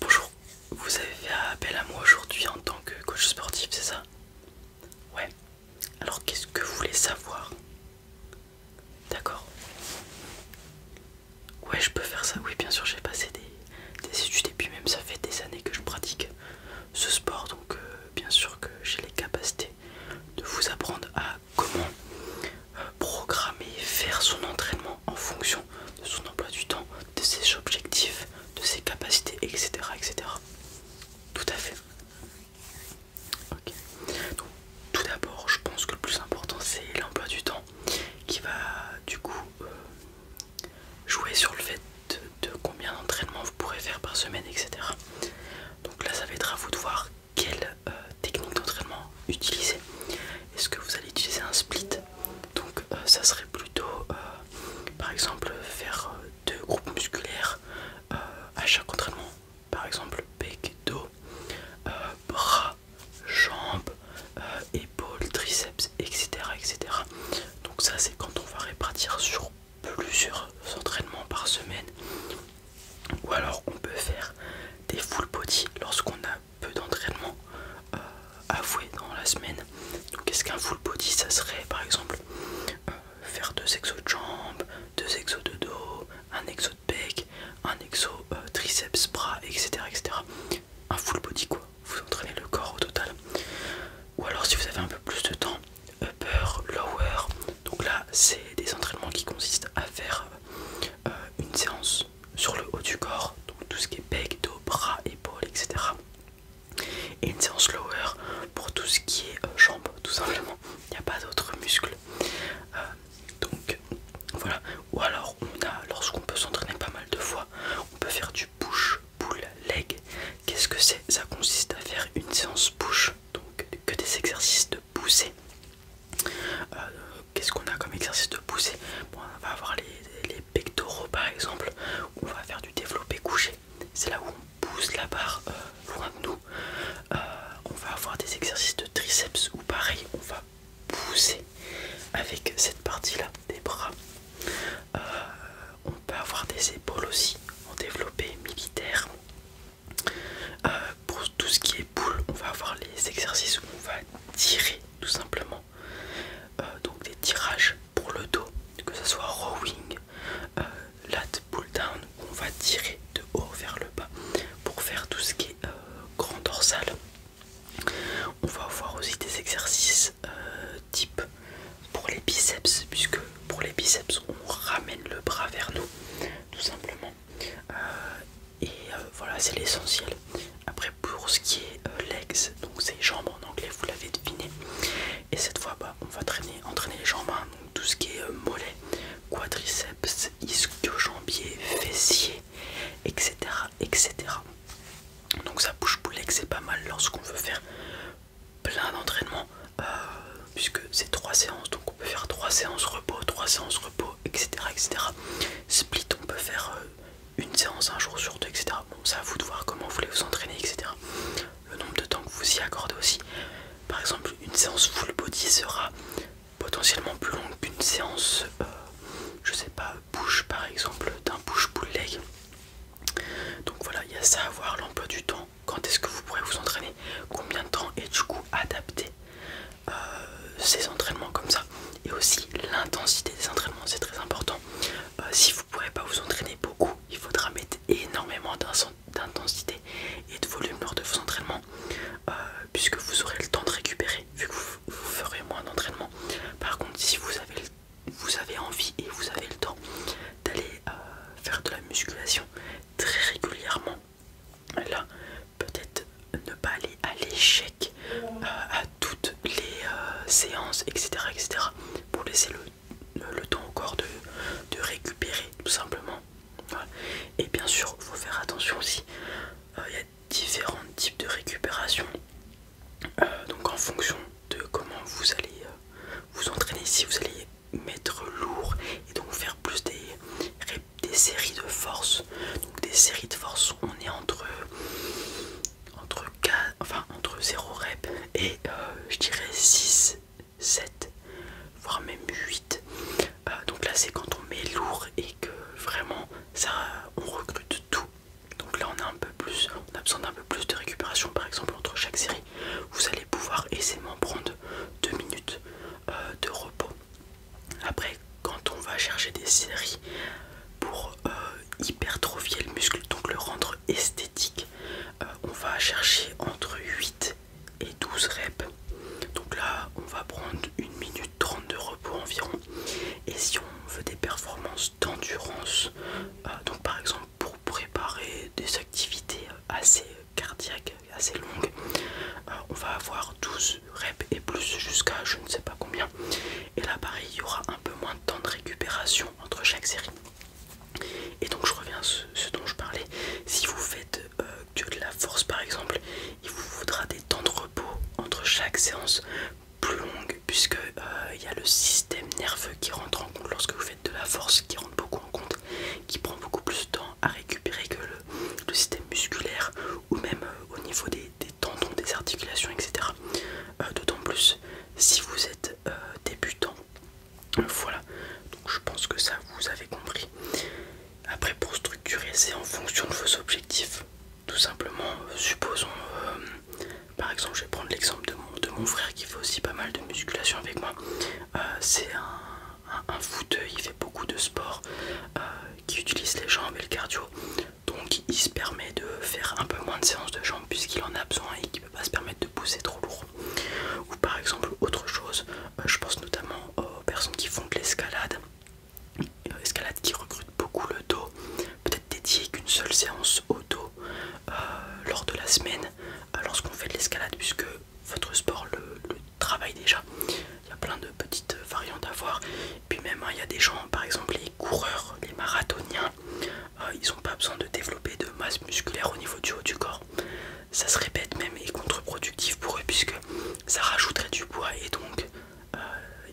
Bonjour, vous avez fait appel à moi aujourd'hui en tant que coach sportif, c'est ça Ouais, alors qu'est-ce que vous voulez savoir D'accord. Ouais, je peux faire ça, oui, bien sûr, j'ai passé des, études et puis même ça fait des années que je pratique ce sport, donc euh, bien sûr que j'ai les capacités de vous apprendre à comment programmer euh, programmer, faire son entraînement en fonction de son emploi du temps, de ses objectifs, de ses capacités, etc. etc. Tout à fait. tout d'abord, je pense que le plus important, c'est l'emploi du temps qui va du coup euh, jouer sur le fait de, combien d'entraînements vous pourrez faire par semaine, etc. Donc là, ça va être à vous de voir quelle euh, technique d'entraînement utiliser. Est-ce que vous allez utiliser un split Donc euh, ça serait plutôt euh, par exemple faire euh, deux groupes musculaires à chaque entraînement. Par exemple bec, dos, bras, jambes, épaules, triceps, etc. etc. Donc ça c'est quand on va répartir sur plusieurs entraînements par semaine. Ou alors on peut faire des full body lorsqu'on a peu d'entraînement euh, avoué dans la semaine. Donc est-ce qu'un full body ça serait par exemple euh, faire deux exos de jambes, deux exos de dos, un exo de bec, un exo euh, triceps, bras, etc., etc. Un full body quoi, vous entraînez le corps au total. Ou alors si vous avez un peu plus de temps, upper, lower, donc là c'est des entraînements qui consistent à faire euh, une séance sur le haut du corps, donc tout ce qui est bec, dos, bras, épaules, etc. Et une séance lower pour tout ce qui est euh, jambes, tout simplement. Il n'y a pas d'autres muscles. Euh, donc voilà. Ou alors on lorsqu'on peut s'entraîner pas mal de fois, on peut faire du push, pull, leg. Qu'est-ce que c'est Ça consiste à faire une séance push, donc que des exercices de pousser euh, qu'est-ce qu'on a comme exercice de pousser bon, On va avoir les, pectoraux par exemple, on va faire du développé couché. C'est là où on pousse la barre euh, loin de nous. Euh, on va avoir des exercices de triceps où pareil, on va pousser avec cette partie-là des bras. on peut avoir des épaules aussi en développé militaire pour tout ce qui est pull, on va avoir les exercices où on va tirer tout simplement. Euh, donc des tirages pour le dos, que ce soit rowing, euh, lat pull down, on va tirer de haut vers le bas pour faire tout ce qui est euh, grand dorsal. On va avoir aussi des exercices type pour les biceps, puisque pour les biceps on ramène le bras vers nous, tout simplement. Euh, et euh, voilà, c'est l'essentiel. Après, pour ce qui est euh, legs, donc c'est jambes en anglais, vous l'avez deviné. Et cette fois, bas on va traîner, entraîner les jambes, hein. donc tout ce qui est mollets mollet, quadriceps, ischio-jambier, fessier, etc. etc. Donc ça bouge pour legs, c'est pas mal lorsqu'on veut faire plein d'entraînements, puisque c'est trois séances donc on peut faire 3 séances repos, 3 séances repos, etc. etc. Split, on peut faire euh, une séance un jour sur deux, etc. Bon, c'est à vous de voir comment vous voulez vous entraîner, etc. Le nombre de temps que vous y accordez aussi. Par exemple, une séance full body sera potentiellement plus longue qu'une séance, euh, je sais pas, push par exemple, d'un push pull leg. Donc voilà, il y a ça à voir, l'emploi du temps, quand est-ce que vous pourrez vous entraîner, combien de temps, et du coup adapter euh, ces entraînements comme ça et aussi l'intensité des entraînements c'est très important euh, si vous pourrez pas vous entraîner beaucoup il faudra mettre énormément d'intensité et de volume lors de vos entraînements euh, puisque vous aurez le temps de récupérer vu que vous, ferez moins d'entraînement par contre si vous avez, vous avez envie et vous avez le temps d'aller faire de la musculation très régulièrement là peut-être ne pas aller à l'échec euh, à toutes les euh, séances etc etc pour laisser le, temps encore de, de récupérer tout simplement et bien sûr faut faire attention aussi euh, il y a différents types de récupération donc en fonction de comment vous allez vous entraîner si vous allez mettre lourd et donc faire plus des réponses des séries de force. Donc des séries de force, on est entre entre 0 rep et euh, je dirais 6, 7, voire même 8. Euh, donc là c'est quand on met lourd et que vraiment ça on recrute tout. Donc là on a un peu plus, on a besoin d'un peu plus de récupération par exemple entre chaque série. Vous allez pouvoir aisément prendre 2 minutes euh, de repos. Après, quand on va chercher des séries pour euh, hypertrophier le muscle, donc le rendre esthétique, euh, on va chercher entre 8 et 12 reps. Donc là, on va prendre une minute 30 de repos environ. Et si on veut des performances d'endurance, euh, donc par exemple pour préparer des activités assez cardiaque assez longue. Euh, on va avoir 12 reps et plus jusqu'à je ne sais pas combien. Et là pareil, il y aura un peu moins de temps de récupération entre chaque série. Et donc je reviens à ce, dont je parlais. Si vous faites euh, que de la force par exemple, il vous faudra des temps de repos entre chaque séance plus longue puisque euh, il y a le système nerveux qui rentre en compte lorsque vous faites de la force qui rentre beaucoup en compte qui prend beaucoup plus de temps à récupérer que le, système musculaire ou même euh, au niveau des, tendons, des articulations, etc. Euh, d'autant plus si vous êtes euh, débutant. Voilà, donc je pense que ça vous avez compris. Après, pour structurer, c'est en fonction de vos objectifs. Tout simplement, supposons, par exemple, je vais prendre l'exemple de mon, de mon frère qui fait aussi pas mal de musculation avec moi. c'est un un, foot, il fait beaucoup de sport euh, qui utilise les jambes et le cardio. Donc il se permet de faire un peu moins de séances de jambes puisqu'il en a besoin et qu'il ne peut pas se permettre de pousser trop lourd. Ou par exemple autre chose, euh, je pense notamment aux personnes qui font de l'escalade, euh, escalade qui recrute beaucoup le dos, peut-être dédié qu'une seule séance au dos lors de la semaine lorsqu'on fait de l'escalade puisque votre sport le travaille déjà. Il y a plein de petites variantes à voir. Puis même, hein, il y a des gens, par exemple les coureurs, les marathoniens, euh, ils n'ont pas besoin de développer de masse musculaire au niveau du haut du corps. Ça se répète même et contre-productif pour eux puisque ça rajouterait du poids et donc euh,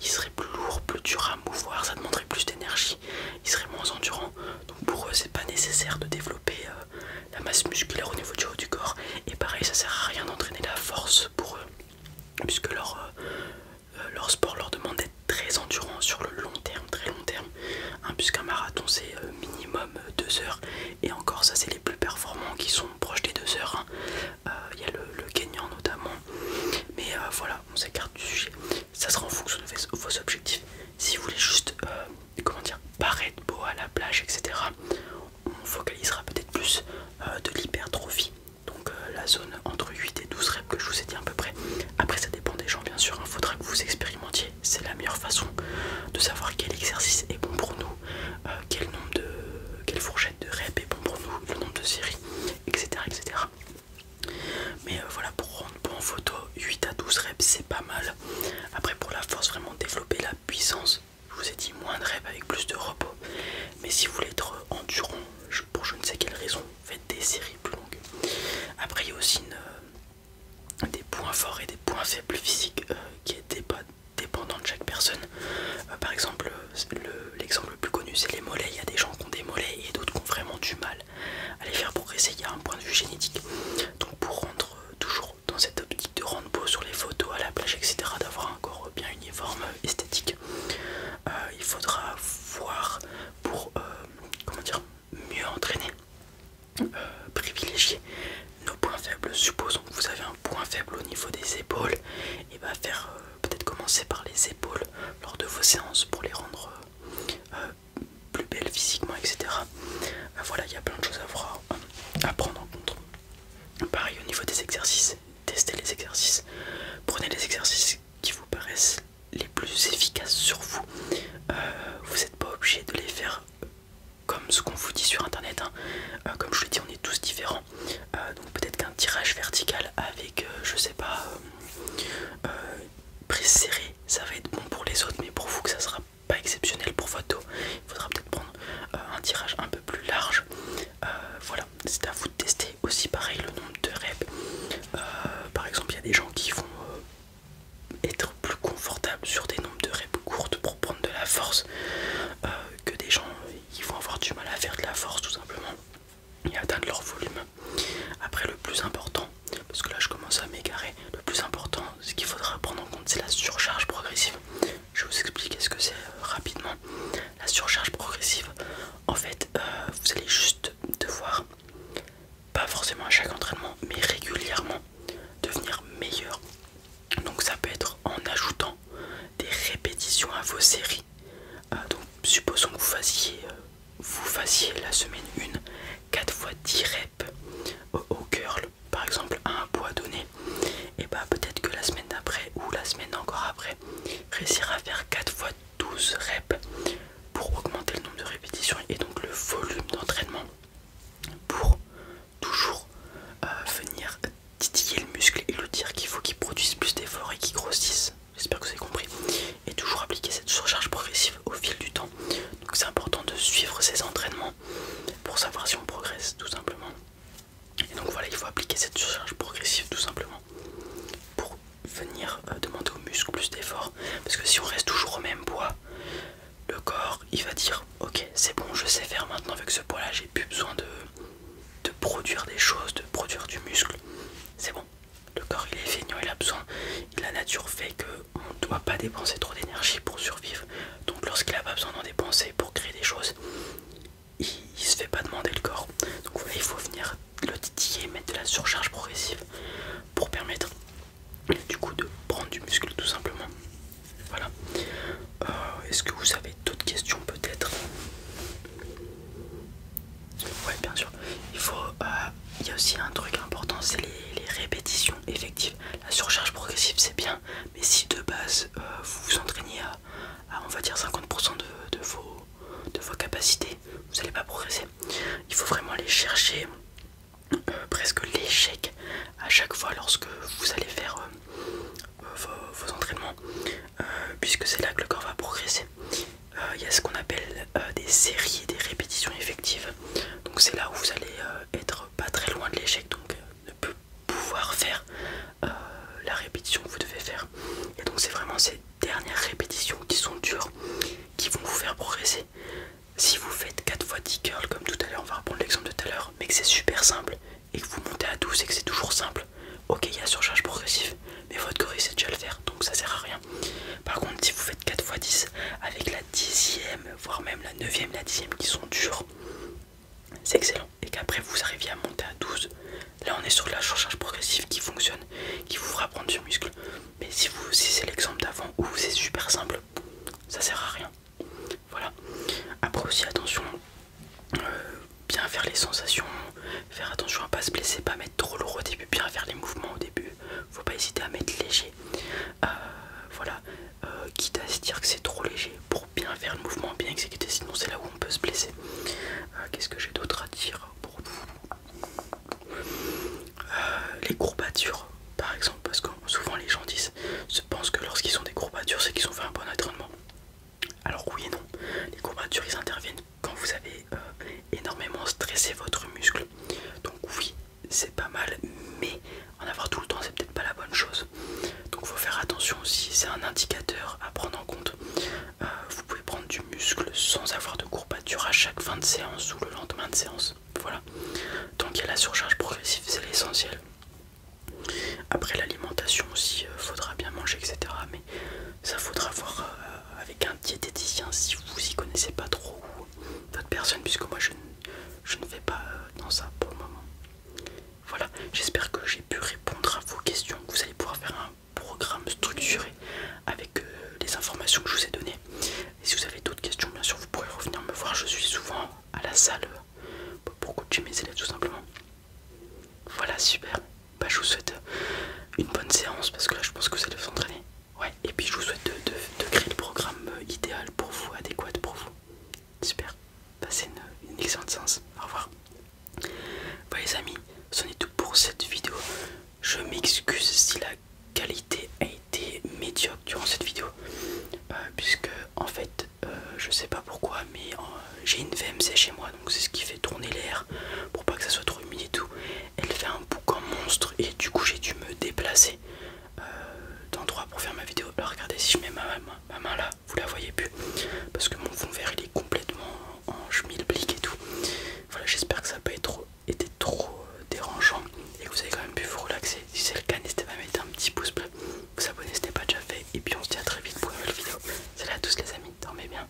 ils seraient plus lourds, plus durs à mouvoir, ça demanderait plus d'énergie, ils seraient moins endurants. Donc pour eux, c'est pas nécessaire de développer euh, la masse musculaire au niveau du haut du corps et pareil ça sert à rien d'entraîner la force pour eux puisque leur, euh, euh, sport leur demande d'être très endurant sur le long terme très long terme hein, puisqu'un marathon c'est euh, minimum 2 heures et encore ça c'est les plus performants qui sont proches des 2 heures hein. il y a le, gagnant notamment mais voilà on s'écarte du sujet ça sera en fonction de vos objectifs si vous voulez juste, euh, comment dire, paraître beau à la plage, etc., on focalisera peut-être plus euh, de l'hypertrophie. Donc euh, la zone entre 8 et 12 reps que je vous ai dit à peu près. Après ça dépend des gens bien sûr, il hein. faudra que vous expérimentiez. C'est la meilleure façon de savoir quel exercice est bon pour nous, quel nombre de, quelle fourchette de reps est bon pour nous, le nombre de séries, etc. etc. Mais voilà, pour rendre bon en photo, 8 à 12 reps c'est pas mal. Après, pour la force, vraiment développer la puissance. Je vous ai dit moins de rêves avec plus de repos. Mais si vous voulez être endurant, pour je ne sais quelle raison, faites des séries plus longues. Après, il y a aussi euh, des points forts et des points faibles physiques euh, qui étaient pas dépendant de chaque personne. Euh, par exemple, l'exemple le, plus connu c'est les mollets. Il y a des gens qui ont des mollets et d'autres qui ont vraiment du mal à les faire progresser. Il y a un point de vue génétique. Donc pour rendre toujours dans cette optique de rendre beau sur les photos à la plage, etc., d'avoir un corps bien uniforme, esthétique, euh, il faudra voir pour euh, comment dire, mieux entraîner, euh, privilégier nos points faibles. Supposons que vous avez un point faible au niveau des épaules, et bah faire peut-être commencer par les épaules lors de vos séances pour les rendre plus belle physiquement, etc. Bah voilà, il y a plein de choses à, voir, à prendre en compte. Pareil au niveau des exercices, testez les exercices, prenez les exercices qui vous paraissent les plus efficaces sur vous. Euh, vous n'êtes pas obligé de les faire comme ce qu'on vous dit sur internet. Hein. Euh, comme je le dis, on est tous différents. Euh, donc peut-être qu'un tirage vertical avec, je sais pas, euh, serré serrée, ça va être bon pour les autres, mais pour vous que ça sera pas exceptionnel pour votre Il faudra peut-être prendre euh, un tirage un peu plus large. Euh, voilà, c'est à vous de tester aussi pareil le nombre de reps. Euh, par exemple, il y a des gens qui vont être plus confortables sur des nombres de reps courtes pour prendre de la force que des gens qui vont avoir du mal à faire de la force tout simplement et atteindre leur volume. Après, le plus important parce que là je commence à m'égarer. Le plus important, ce qu'il faudra prendre en compte, c'est la surcharge progressive. Je vais vous expliquer ce que c'est euh, rapidement. La surcharge progressive, en fait, euh, vous allez juste devoir, pas forcément à chaque entraînement, mais régulièrement, devenir meilleur. Donc ça peut être en ajoutant des répétitions à vos séries. Euh, donc supposons que vous fassiez, vous fassiez la semaine 1 4 fois direct au, curl, par exemple à un poids donné, et bah peut-être que la semaine d'après ou la semaine encore après, réussir à faire 4 fois 12 reps pour augmenter le nombre de répétitions et donc le volume d'entraînement pour toujours euh, venir titiller le muscle et lui dire qu'il faut qu'il produise plus d'efforts et qu'il grossisse. J'espère que vous avez compris. Et toujours appliquer cette surcharge progressive au fil du temps donc c'est important de suivre ces entraînements pour savoir si on progresse tout simplement. Et donc voilà, il faut appliquer cette surcharge progressive tout simplement pour venir euh, demander au muscles plus d'efforts. Parce que si on reste toujours au même poids, le corps il va dire ok c'est bon je sais faire maintenant avec ce poids là j'ai plus besoin de, de produire des choses, de produire du muscle. C'est bon, le corps il est feignant, il a besoin. La nature fait qu'on ne doit pas dépenser trop d'énergie pour survivre. Donc lorsqu'il n'a pas besoin d'en dépenser pour créer des choses, il ne se fait pas demander le corps. Donc il faut venir le titiller, mettre de la surcharge progressive pour permettre du coup de prendre du muscle tout simplement. Voilà. Euh, est-ce que vous avez d'autres questions peut-être oui, bien sûr. Il faut. Euh, il y a aussi un truc important c'est les, répétitions effectives. La surcharge progressive, c'est bien, mais si de base euh, vous vous entraînez à, on va dire 50% de, vos, de vos capacités, vous n'allez pas progresser. Il faut vraiment aller chercher euh, presque l'échec à chaque fois lorsque vous allez faire vos, entraînements, puisque c'est là que le corps va progresser. Euh, il y a ce qu'on appelle euh, des séries des répétitions effectives. Donc c'est là où vous allez euh, être pas très loin de l'échec, donc ne plus pouvoir faire la répétition que vous devez faire. Et donc c'est vraiment ces dernières répétitions qui sont dures, qui vont vous faire progresser. Si vous faites 4 fois 10 curls comme tout à l'heure, on va reprendre l'exemple de tout à l'heure, mais que c'est super simple et que vous montez à 12 et que c'est toujours simple, ok il y a surcharge progressive, mais votre corps il sait déjà le faire, donc ça sert à rien par contre, si vous faites 4 x 10 avec la dixième, voire même la neuvième, la dixième qui sont dures, c'est excellent. Et qu'après vous arriviez à monter à 12, là on est sur la surcharge progressive qui fonctionne, qui vous fera prendre du muscle. Mais si, vous, c'est l'exemple d'avant où c'est super simple, ça sert à rien. Voilà. Après aussi, attention, euh, bien faire les sensations, faire attention à pas se blesser, pas mettre trop lourd au début, bien faire les mouvements au début faut pas hésiter à mettre léger. Euh, voilà, euh, quitte à se dire que c'est trop léger pour bien faire le mouvement, bien exécuter, sinon c'est là où on peut se blesser. Euh, qu'est-ce que j'ai d'autre à dire pour vous Les courbatures, par exemple, parce que souvent les gens disent, se pensent que lorsqu'ils ont des courbatures, c'est qu'ils ont fait un bon entraînement. Alors oui et non, les courbatures ils interviennent quand vous avez euh, énormément stressé votre muscle. Donc oui, c'est pas mal, mais en avoir tout le temps, c'est peut-être pas la bonne chose. Donc il faut faire attention aussi, c'est un indicateur à prendre en compte. Euh, vous pouvez prendre du muscle sans avoir de courbature à chaque fin de séance ou le lendemain de séance. Voilà. Donc il y a la surcharge progressive, c'est l'essentiel. Après l'alimentation aussi, euh, faudra bien manger, etc. Mais ça faudra voir euh, avec un diététicien si vous y connaissez pas trop d'autres personnes puisque moi je, ne vais pas euh, dans ça pour le moment. Voilà, j'espère que j'ai pu répondre à vos questions. Vous allez pouvoir faire un programme structuré avec euh, les informations que je vous ai données. Et si vous avez d'autres questions, bien sûr, vous pourrez revenir me voir. Je suis souvent à la salle pour coacher mes élèves tout simplement. Voilà, super bah, je vous souhaite euh, une bonne séance parce que là je pense que vous allez vous entraîner. Ouais, et puis je vous souhaite de, créer le programme euh, idéal pour vous, adéquat pour vous. Super, passez bah, une, excellente séance. Au revoir. Bah, les amis, c'en est tout pour cette vidéo. Je m'excuse si la qualité a été médiocre durant cette vidéo. Euh, puisque en fait je ne sais pas pourquoi mais j'ai une VMC chez moi donc c'est ce qui fait tourner l'air pour pas que ça soit trop humide et tout elle fait un en monstre et du coup j'ai dû me déplacer euh, d'endroit pour faire ma vidéo. Alors regardez si je mets ma, main là, vous la voyez plus parce que mon fond vert il est complètement en schmilblick et tout. Voilà j'espère que ça n'a pas été trop, euh, dérangeant et que vous avez quand même pu vous relaxer. Si c'est le cas n'hésitez pas à mettre un petit pouce bleu, vous abonner si ce n'est pas déjà fait et puis on se dit à très vite pour une nouvelle vidéo. Salut à tous les amis, dormez bien,